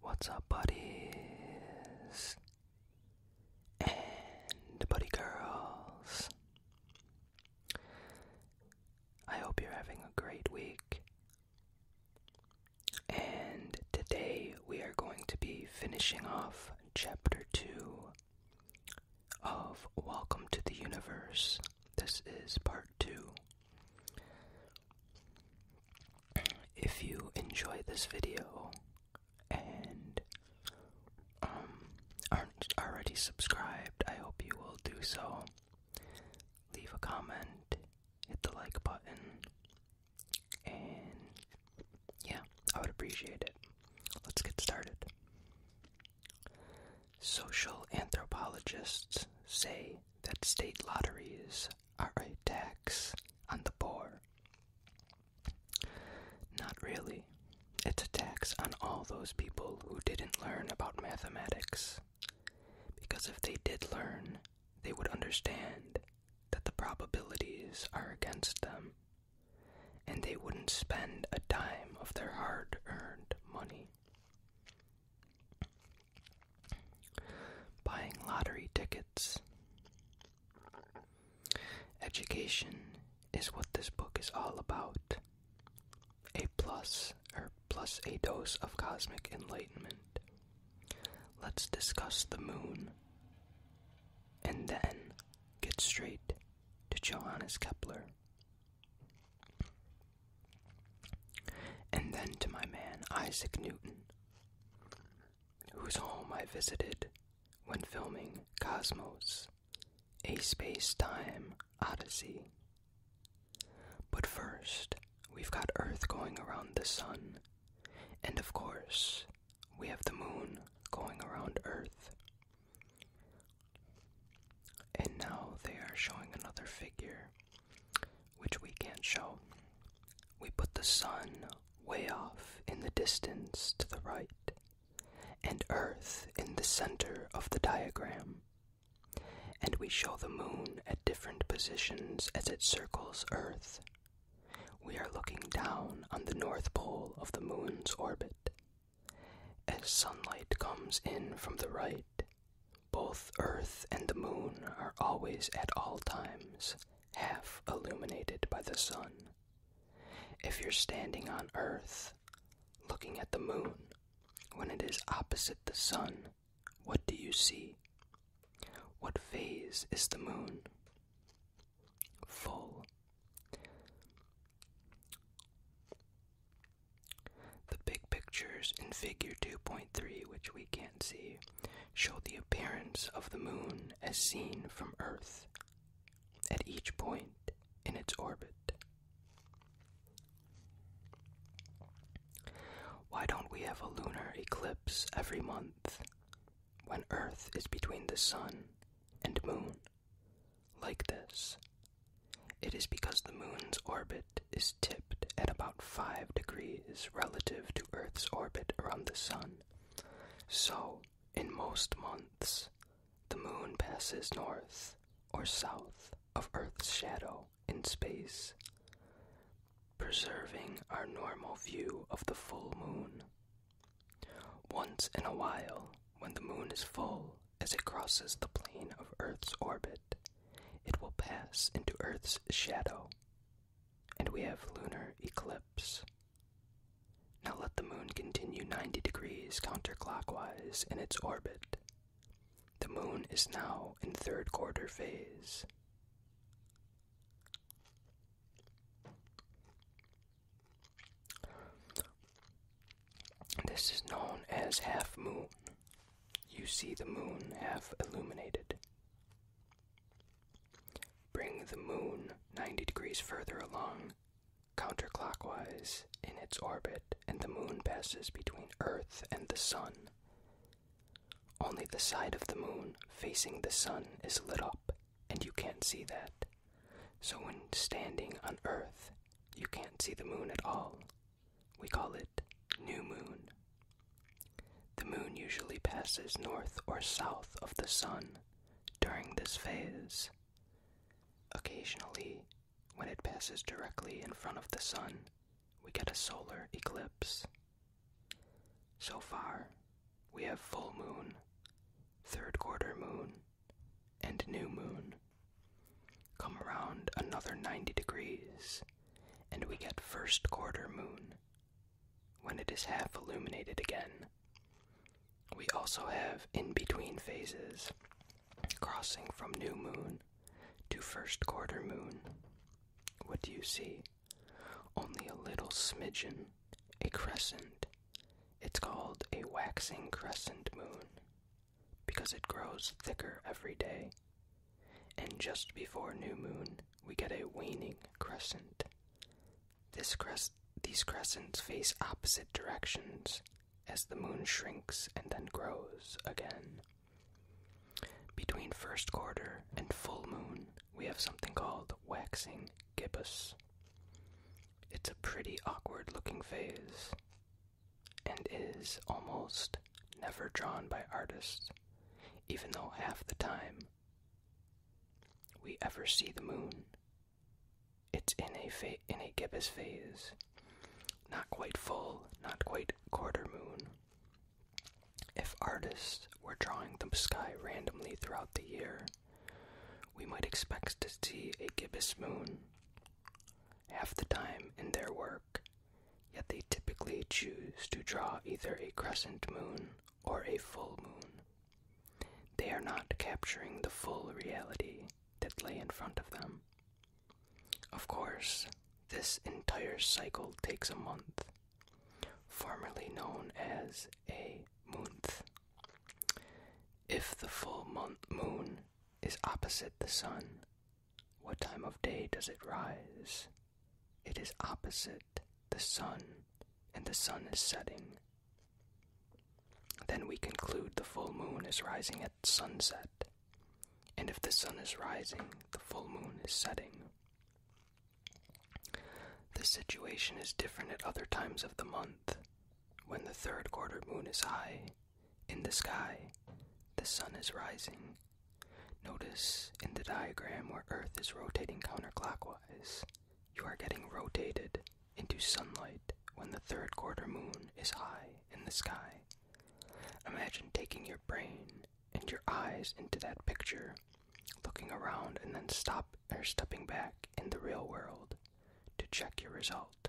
What's up, buddies and buddy girls? I hope you're having a great week. And today we are going to be finishing off chapter 2 of Welcome to the Universe. This is part 2 if you enjoy this video and um, aren't already subscribed, I hope you will do so. Leave a comment, hit the like button, and yeah, I would appreciate it. Let's get started. Social anthropologists say that state lotteries are a tax on the poor. Not really. It's a tax on all those people who didn't learn about mathematics. Because if they did learn, they would understand that the probabilities are against them, and they wouldn't spend a dime of their hard earned money buying lottery tickets. Education is what this book is all about. A plus, or plus a dose of cosmic enlightenment. Let's discuss the moon. And then get straight to Johannes Kepler. And then to my man Isaac Newton, whose home I visited when filming Cosmos, a space time odyssey. But first, we've got Earth going around the Sun, and of course, we have the Moon going around Earth. And now they are showing another figure which we can't show. We put the sun way off in the distance to the right, and Earth in the center of the diagram. And we show the moon at different positions as it circles Earth. We are looking down on the north pole of the moon's orbit. As sunlight comes in from the right, both Earth and the Moon are always at all times half illuminated by the sun. If you're standing on Earth, looking at the Moon, when it is opposite the sun, what do you see? What phase is the Moon? Full. The big pictures in Figure 2.3, which we can't see, show the appearance of the moon as seen from Earth at each point in its orbit. Why don't we have a lunar eclipse every month when Earth is between the sun and moon? Like this. It is because the moon's orbit is tipped at about 5 degrees relative to Earth's orbit around the Sun. So, in most months, the Moon passes north or south of Earth's shadow in space, preserving our normal view of the full Moon. Once in a while, when the Moon is full as it crosses the plane of Earth's orbit, it will pass into Earth's shadow, and we have lunar eclipse. Now let the moon continue 90 degrees counterclockwise in its orbit. The moon is now in third quarter phase. This is known as half moon you see the moon half illuminated. Bring the moon 90 degrees further along, counterclockwise, in its orbit, and the moon passes between Earth and the sun. Only the side of the moon facing the sun is lit up, and you can't see that. So when standing on Earth, you can't see the moon at all we call it new moon. The moon usually passes north or south of the sun during this phase. Occasionally, when it passes directly in front of the sun, we get a solar eclipse. So far, we have full moon, third quarter moon, and new moon. Come around another 90 degrees, and we get first quarter moon when it is half illuminated again. We also have in between phases, crossing from new moon to first quarter moon. What do you see? Only a little smidgen, a crescent. It's called a waxing crescent moon because it grows thicker every day. And just before new moon, we get a waning crescent. This crest, these crescents face opposite directions as the moon shrinks and then grows again. Between first quarter and full moon, we have something called waxing gibbous. It's a pretty awkward looking phase, and is almost never drawn by artists, even though half the time we ever see the moon. It's in a in a gibbous phase, not quite full, not quite quarter moon. If artists were drawing the sky randomly throughout the year, we might expect to see a gibbous moon. Half the time in their work, yet they typically choose to draw either a crescent moon or a full moon. They are not capturing the full reality that lay in front of them. Of course, this entire cycle takes a month, formerly known as a month. If the full moon is opposite the sun, what time of day does it rise? It is opposite the sun, and the sun is setting. Then we conclude the full moon is rising at sunset, and if the sun is rising, the full moon is setting. The situation is different at other times of the month. When the third quarter moon is high, in the sky, the sun is rising. Notice in the diagram where Earth is rotating counterclockwise, you are getting rotated into sunlight when the third quarter moon is high in the sky. Imagine taking your brain and your eyes into that picture, looking around and then stop or stepping back in the real world to check your result.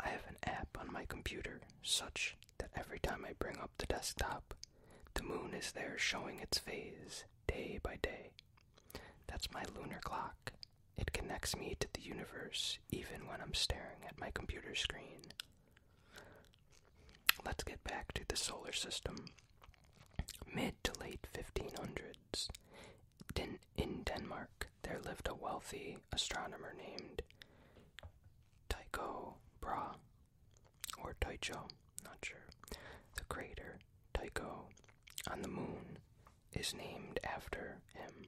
I have an app on my computer such that every time I bring up the desktop, the moon is there showing its phase day by day. That's my lunar clock. It connects me to the universe even when I'm staring at my computer screen. Let's get back to the solar system. Mid to late 1500s, in Denmark, there lived a wealthy astronomer named Tycho Brahe, or Tycho, not sure. The crater Tycho on the moon is named after him.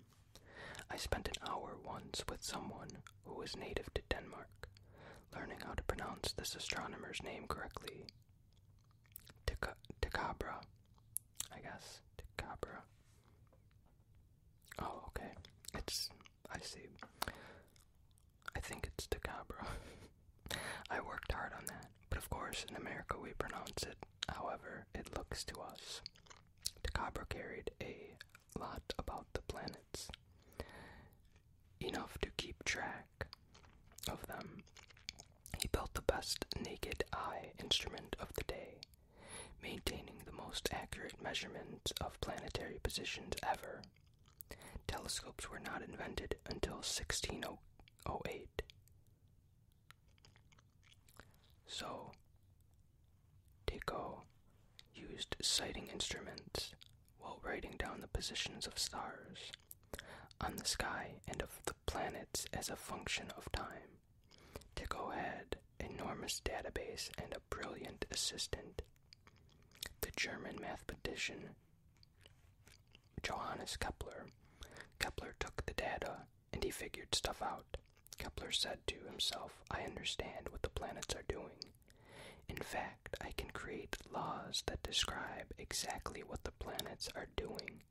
I spent an hour once with someone who was native to Denmark, learning how to pronounce this astronomer's name correctly. Ticabra, I guess. Ticabra. Oh, okay. It's. I see. I think it's Tacabra. I worked hard on that, but of course, in America we pronounce it however it looks to us. Tacabra carried a lot about the planets, enough to keep track of them. He built the best naked eye instrument of the day, maintaining the most accurate measurements of planetary positions ever. Telescopes were not invented until 1608. So, Tycho used sighting instruments while writing down the positions of stars on the sky and of the planets as a function of time. Tickle had enormous database and a brilliant assistant. The German mathematician Johannes Kepler. Kepler took the data and he figured stuff out. Kepler said to himself, I understand what the planets are doing. In fact, I can create laws that describe exactly what the planets are doing.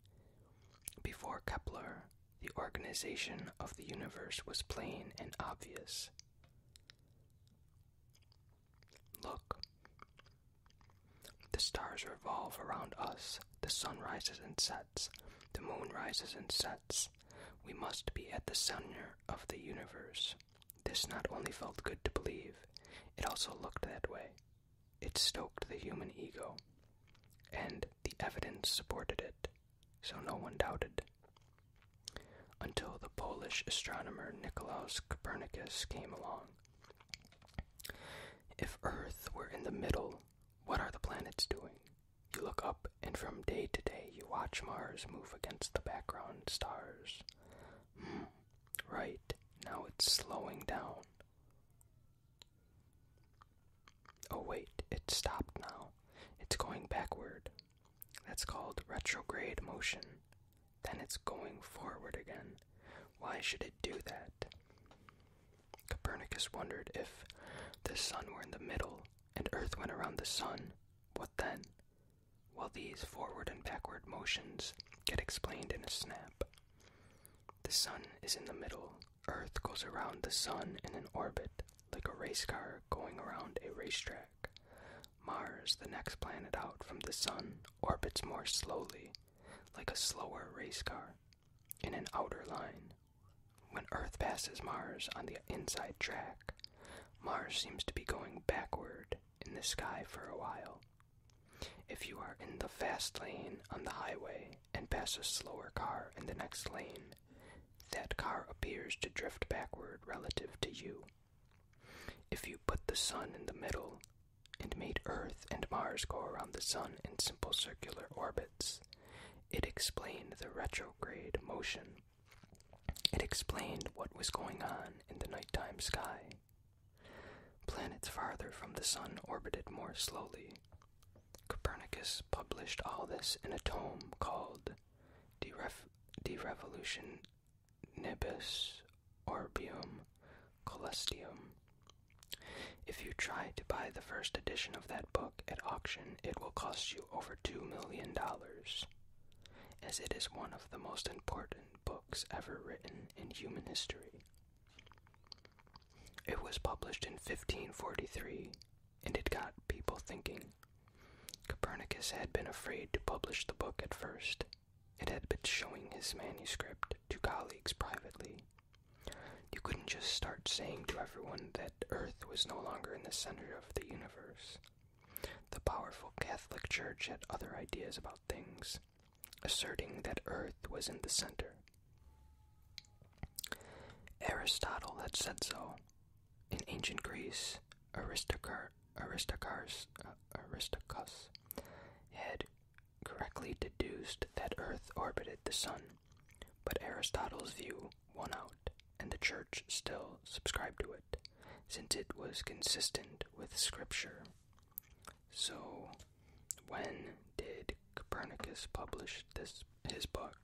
Before Kepler, the organization of the universe was plain and obvious. Look. The stars revolve around us. The sun rises and sets. The moon rises and sets. We must be at the center of the universe. This not only felt good to believe, it also looked that way. It stoked the human ego and the evidence supported it, so no one doubted. Until the Polish astronomer Nicolaus Copernicus came along. If Earth were in the middle, what are the planets doing? You look up, and from day to day, you watch Mars move against the background stars. Hmm, right, now it's slowing down. Oh, wait, it stopped now. It's going backward. That's called retrograde motion. Then it's going forward again. Why should it do that? Copernicus wondered if the sun were in the middle and Earth went around the sun, what then? Well, these forward and backward motions get explained in a snap. The sun is in the middle, Earth goes around the Sun in an orbit, like a race car going around a racetrack. Mars, the next planet out from the Sun, orbits more slowly, like a slower race car, in an outer line. When Earth passes Mars on the inside track, Mars seems to be going backward in the sky for a while. If you are in the fast lane on the highway, and pass a slower car in the next lane, that car appears to drift backward relative to you. If you put the sun in the middle and made Earth and Mars go around the sun in simple circular orbits, it explained the retrograde motion. It explained what was going on in the nighttime sky. Planets farther from the sun orbited more slowly, Copernicus published all this in a tome called De, Revolutionibus Orbium Coelestium*. If you try to buy the first edition of that book at auction, it will cost you over $2 million, as it is one of the most important books ever written in human history. It was published in 1543 and it got people thinking. Copernicus had been afraid to publish the book at first. It had been showing his manuscript to colleagues privately. You couldn't just start saying to everyone that Earth was no longer in the center of the universe. The powerful Catholic Church had other ideas about things, asserting that Earth was in the center Aristotle had said so. In ancient Greece, Aristarchus had correctly deduced that Earth orbited the Sun, but Aristotle's view won out, and the Church still subscribed to it, since it was consistent with Scripture. So, when did Copernicus publish this his book?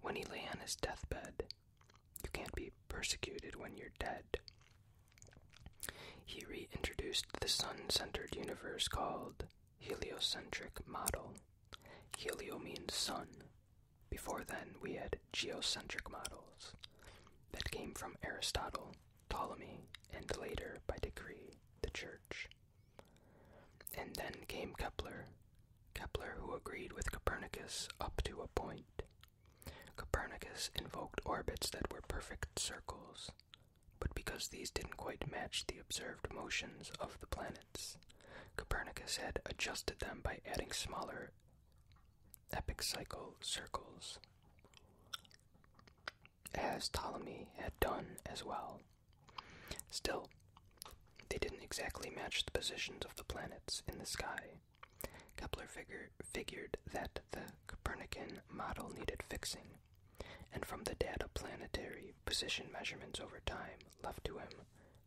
When he lay on his deathbed. You can't be persecuted when you're dead. He reintroduced the sun-centered universe called heliocentric model. Helio means sun. Before then, we had geocentric models that came from Aristotle, Ptolemy, and later, by decree, the Church. And then came Kepler, Kepler who agreed with Copernicus up to a point. Copernicus invoked orbits that were perfect circles, but because these didn't quite match the observed motions of the planets, Copernicus had adjusted them by adding smaller epicycle circles as Ptolemy had done as well. Still, they didn't exactly match the positions of the planets in the sky. Kepler figured that the Copernican model needed fixing, and from the data planetary position measurements over time left to him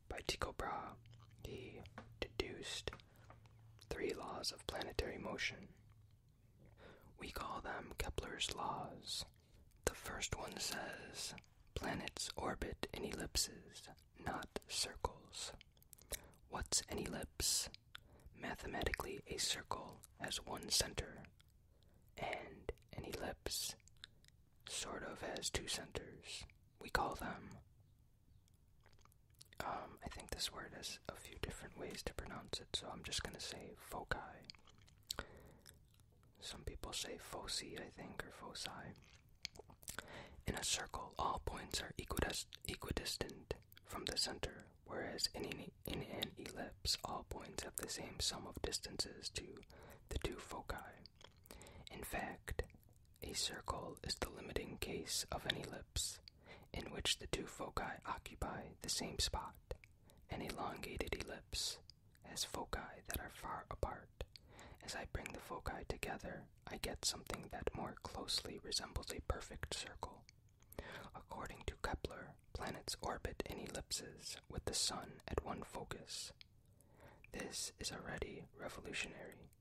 by Tycho Brahe, he deduced three laws of planetary motion. We call them Kepler's laws, the first one says planets orbit in ellipses, not circles. What's an ellipse? Mathematically, a circle has one center, and an ellipse sort of has two centers. We call them. Um, I think this word has a few different ways to pronounce it, so I'm just gonna say foci. Some people say foci, I think, or foci. In a circle, all points are equidistant from the center, whereas in an, ellipse, all points have the same sum of distances to the two foci. In fact, a circle is the limiting case of an ellipse, in which the two foci occupy the same spot an elongated ellipse as foci that are far apart. As I bring the foci together, I get something that more closely resembles a perfect circle. According to Kepler, planets orbit in ellipses with the Sun at one focus. This is already revolutionary.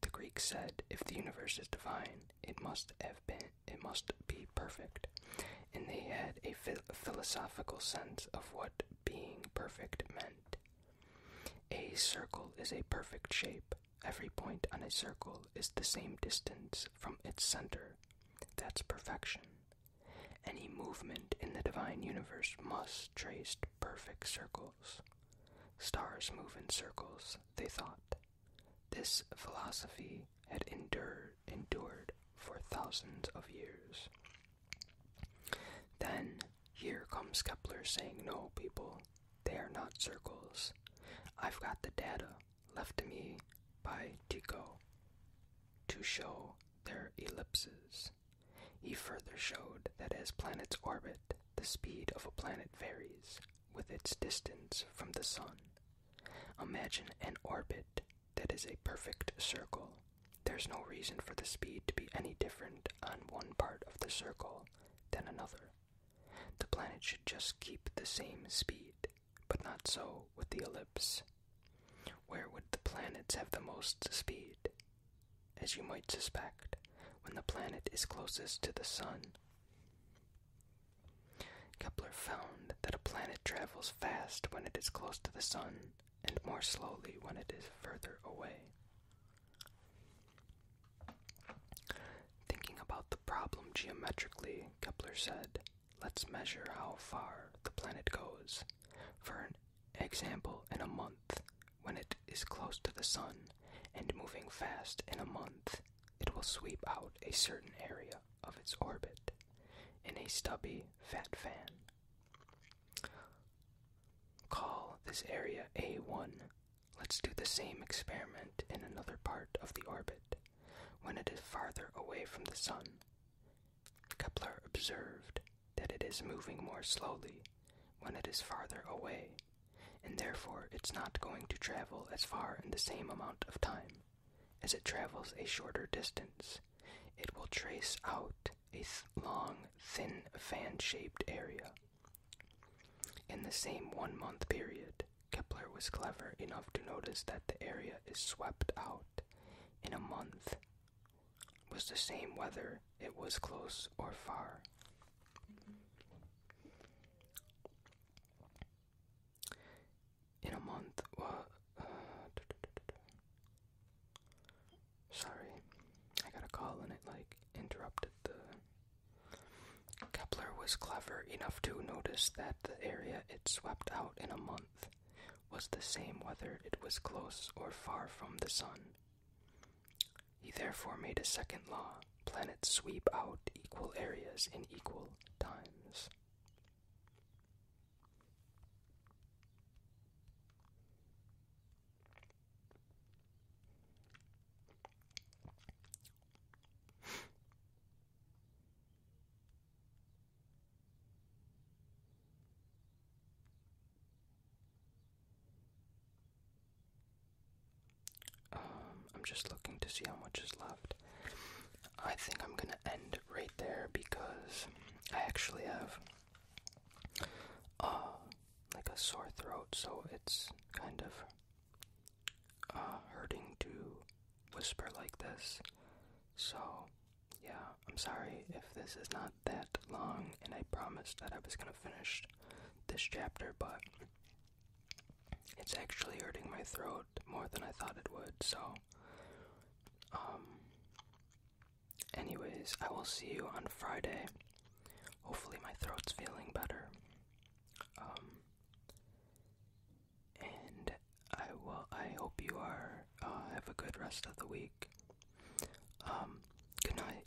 The Greeks said if the universe is divine, it must have been it must be perfect. And they had a philosophical sense of what being perfect meant. A circle is a perfect shape. Every point on a circle is the same distance from its center. That's perfection. Any movement in the divine universe must trace perfect circles. Stars move in circles, they thought. This philosophy had endured, endured for thousands of years. Then here comes Kepler saying, No, people, they are not circles. I've got the data left to me by Tycho to show their ellipses. He further showed that as planets orbit, the speed of a planet varies with its distance from the Sun. Imagine an orbit that is a perfect circle. There's no reason for the speed to be any different on one part of the circle than another. The planet should just keep the same speed, but not so with the ellipse. Where would the planets have the most speed? As you might suspect, when the planet is closest to the sun. Kepler found that a planet travels fast when it is close to the sun and more slowly when it is further away. Thinking about the problem geometrically, Kepler said, Let's measure how far the planet goes. For example, in a month, when it is close to the sun and moving fast in a month, it will sweep out a certain area of its orbit in a stubby fat fan. Call this area A1. Let's do the same experiment in another part of the orbit when it is farther away from the sun. Kepler observed that it is moving more slowly when it is farther away, and therefore it's not going to travel as far in the same amount of time. As it travels a shorter distance, it will trace out a long, thin, fan shaped area. In the same one month period, Kepler was clever enough to notice that the area is swept out in a month, was the same whether it was close or far in a month. Uh, sorry, I got a call and it like interrupted the. Kepler was clever enough to notice that the area it swept out in a month was the same whether it was close or far from the sun. He therefore made a second law planets sweep out equal areas in equal times. Um, I'm just looking to see how much is left. I think I'm gonna end right there because I actually have uh like a sore throat, so it's kind of uh, hurting to whisper like this. So yeah, I'm sorry if this is not that long, and I promised that I was gonna finish this chapter, but it's actually hurting my throat more than I thought it would, so. Um. Anyways, I will see you on Friday. Hopefully, my throat's feeling better. Um. And I will. I hope you are. Uh, have a good rest of the week. Um. Good night.